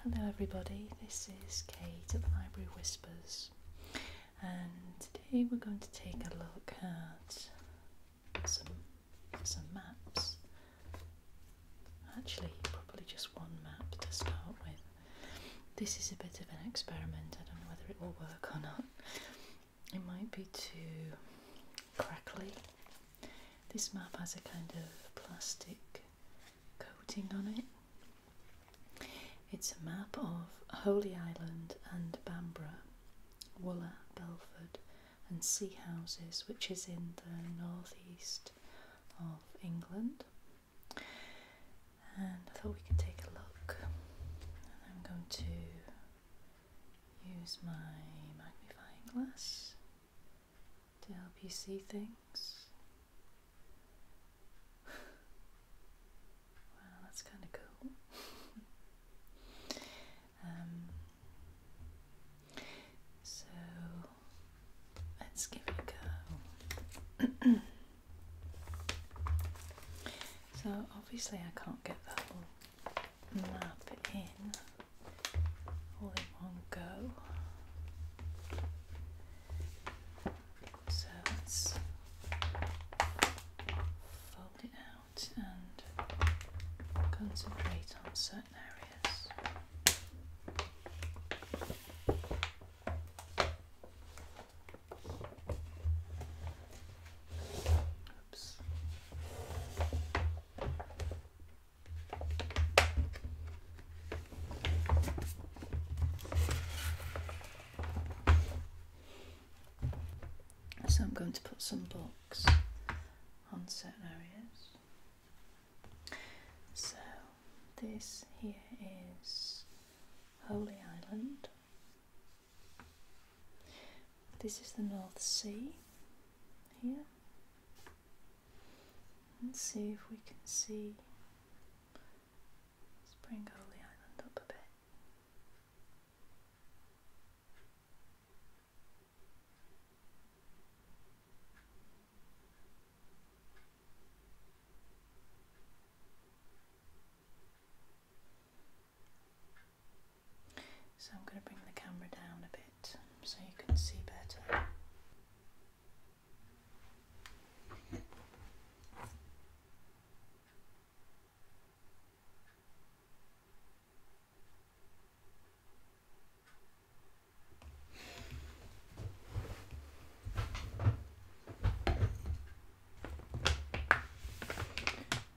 Hello everybody, this is Kate at the Library Whispers and today we're going to take a look at some, some maps. Actually, probably just one map to start with. This is a bit of an experiment, I don't know whether it will work or not. It might be too crackly this map has a kind of plastic coating on it. It's a map of Holy Island and Bamborough, Wooler, Belford, and Sea Houses, which is in the northeast of England. And I thought we could take a look. And I'm going to use my magnifying glass to help you see things. wow, that's kind of cool. um, so let's give it a go. so obviously I can't get the whole map in all in one go. So let's fold it out and concentrate on certain areas. Oops. So I'm going to put some blocks on certain areas. So this here is Holy Island. This is the North Sea here. Let's see if we can see. Let's bring Holy Island up a bit. So I'm going to bring the camera down a bit so you can see better.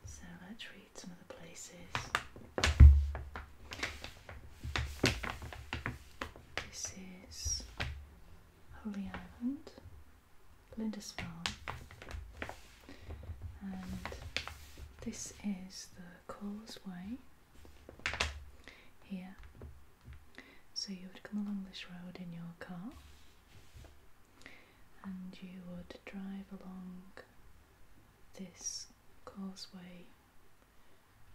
So let's read some the places. This is Holy Island, Lindisfarne, and this is the causeway here. So you would come along this road in your car and you would drive along this causeway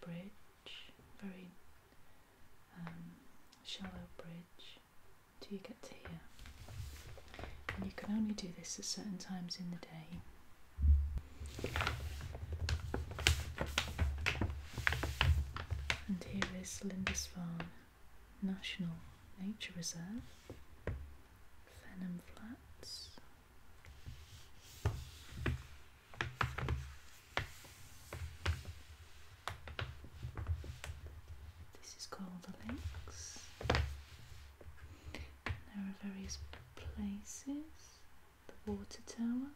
bridge, very um, shallow bridge, till you get to here. And you can only do this at certain times in the day. And here is Lindisfarne National Nature Reserve. Venom Flats. This is called the Links. There are various places. The water tower.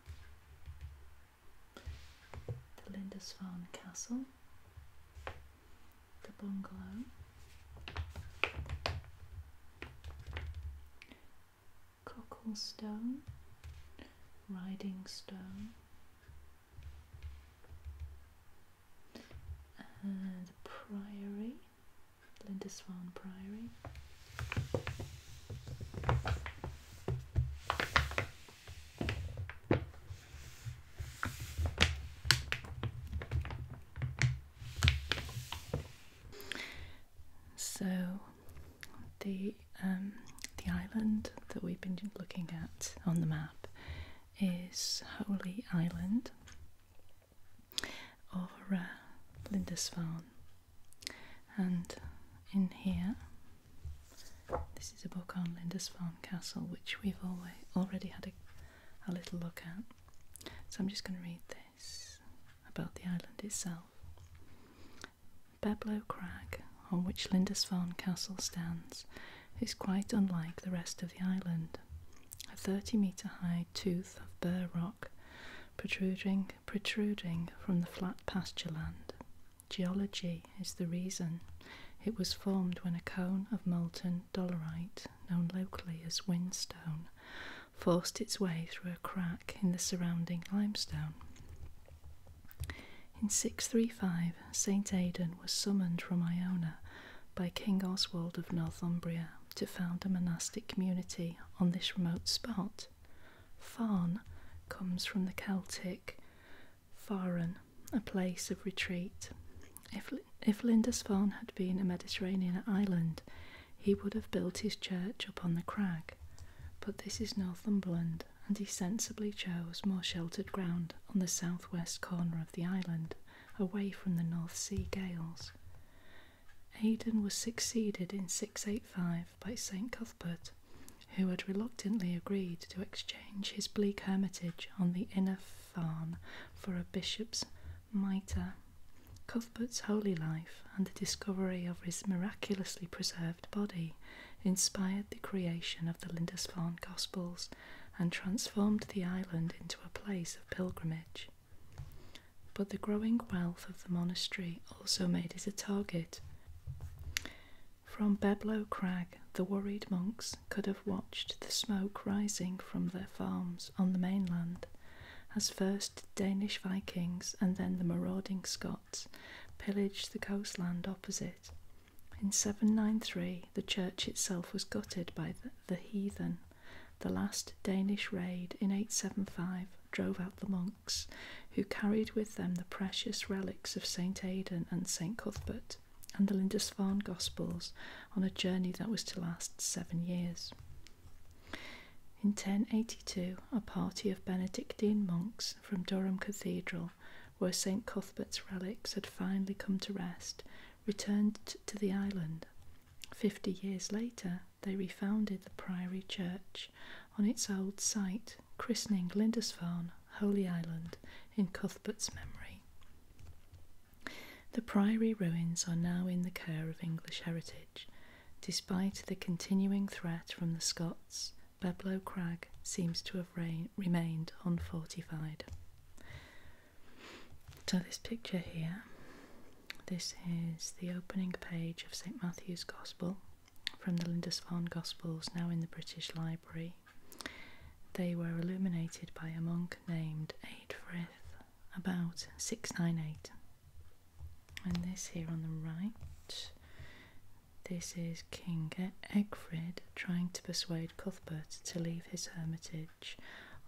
The Lindisfarne Castle the bungalow. Cocklestone, Riding Stone, and the Priory, Lindisfarne Priory. So the um, the island that we've been looking at on the map is Holy Island over uh, Lindisfarne, and in here this is a book on Lindisfarne Castle, which we've already had a little look at. So I'm just going to read this about the island itself. Beblow Crag, on which Lindisfarne Castle stands, is quite unlike the rest of the island. A 30 metre high tooth of burr rock protruding, protruding from the flat pasture land. Geology is the reason. It was formed when a cone of molten dolerite known locally as whinstone, forced its way through a crack in the surrounding limestone. In 635, St Aidan was summoned from Iona by King Oswald of Northumbria to found a monastic community on this remote spot. Farn comes from the Celtic faran, a place of retreat. If, if Lindisfarne had been a Mediterranean island, he would have built his church upon the crag, but this is Northumberland, and he sensibly chose more sheltered ground on the southwest corner of the island, away from the North Sea gales. Aidan was succeeded in 685 by St Cuthbert, who had reluctantly agreed to exchange his bleak hermitage on the inner Farn for a bishop's mitre. Cuthbert's holy life and the discovery of his miraculously preserved body inspired the creation of the Lindisfarne Gospels and transformed the island into a place of pilgrimage. But the growing wealth of the monastery also made it a target. From Beblow Crag the worried monks could have watched the smoke rising from their farms on the mainland as first Danish Vikings and then the marauding Scots pillaged the coastland opposite. In 793, the church itself was gutted by the heathen. The last Danish raid in 875 drove out the monks, who carried with them the precious relics of St. Aidan and St. Cuthbert and the Lindisfarne Gospels on a journey that was to last seven years. In 1082, a party of Benedictine monks from Durham Cathedral, where St Cuthbert's relics had finally come to rest, returned to the island. Fifty years later, they refounded the Priory Church on its old site, christening Lindisfarne Holy Island, in Cuthbert's memory. The Priory ruins are now in the care of English Heritage, despite the continuing threat from the Scots. Beblow Crag seems to have remained unfortified. So, this picture here, this is the opening page of St Matthew's Gospel from the Lindisfarne Gospels, now in the British Library. They were illuminated by a monk named Eadfrith about 698. And this here on the right, this is King Egfrid trying to persuade Cuthbert to leave his hermitage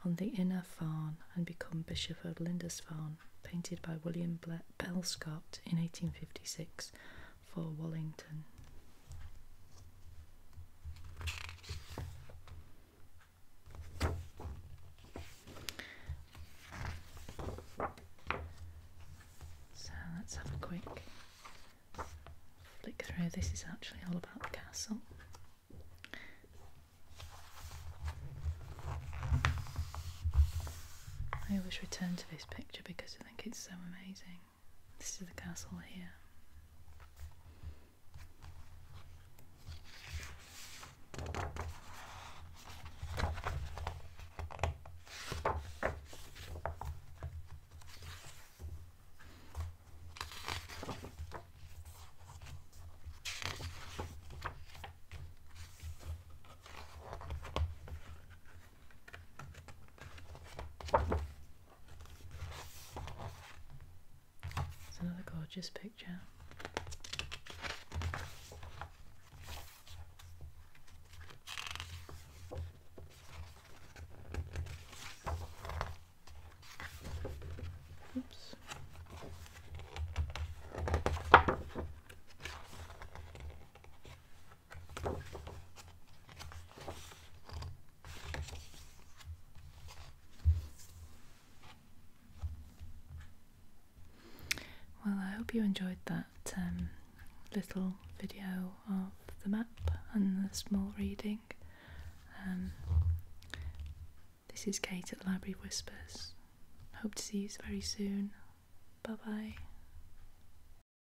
on the Inner Farn and become Bishop of Lindisfarne, painted by William Bell Scott in 1856 for Wallington. So let's have a quick flick through. This is actually all about the castle. I always return to this picture because I think it's so amazing. This is the castle here. It's another gorgeous picture. Oops. Well, I hope you enjoyed that um, little video of the map and the small reading. Um, this is Kate at Library Whispers. Hope to see you very soon. Bye bye.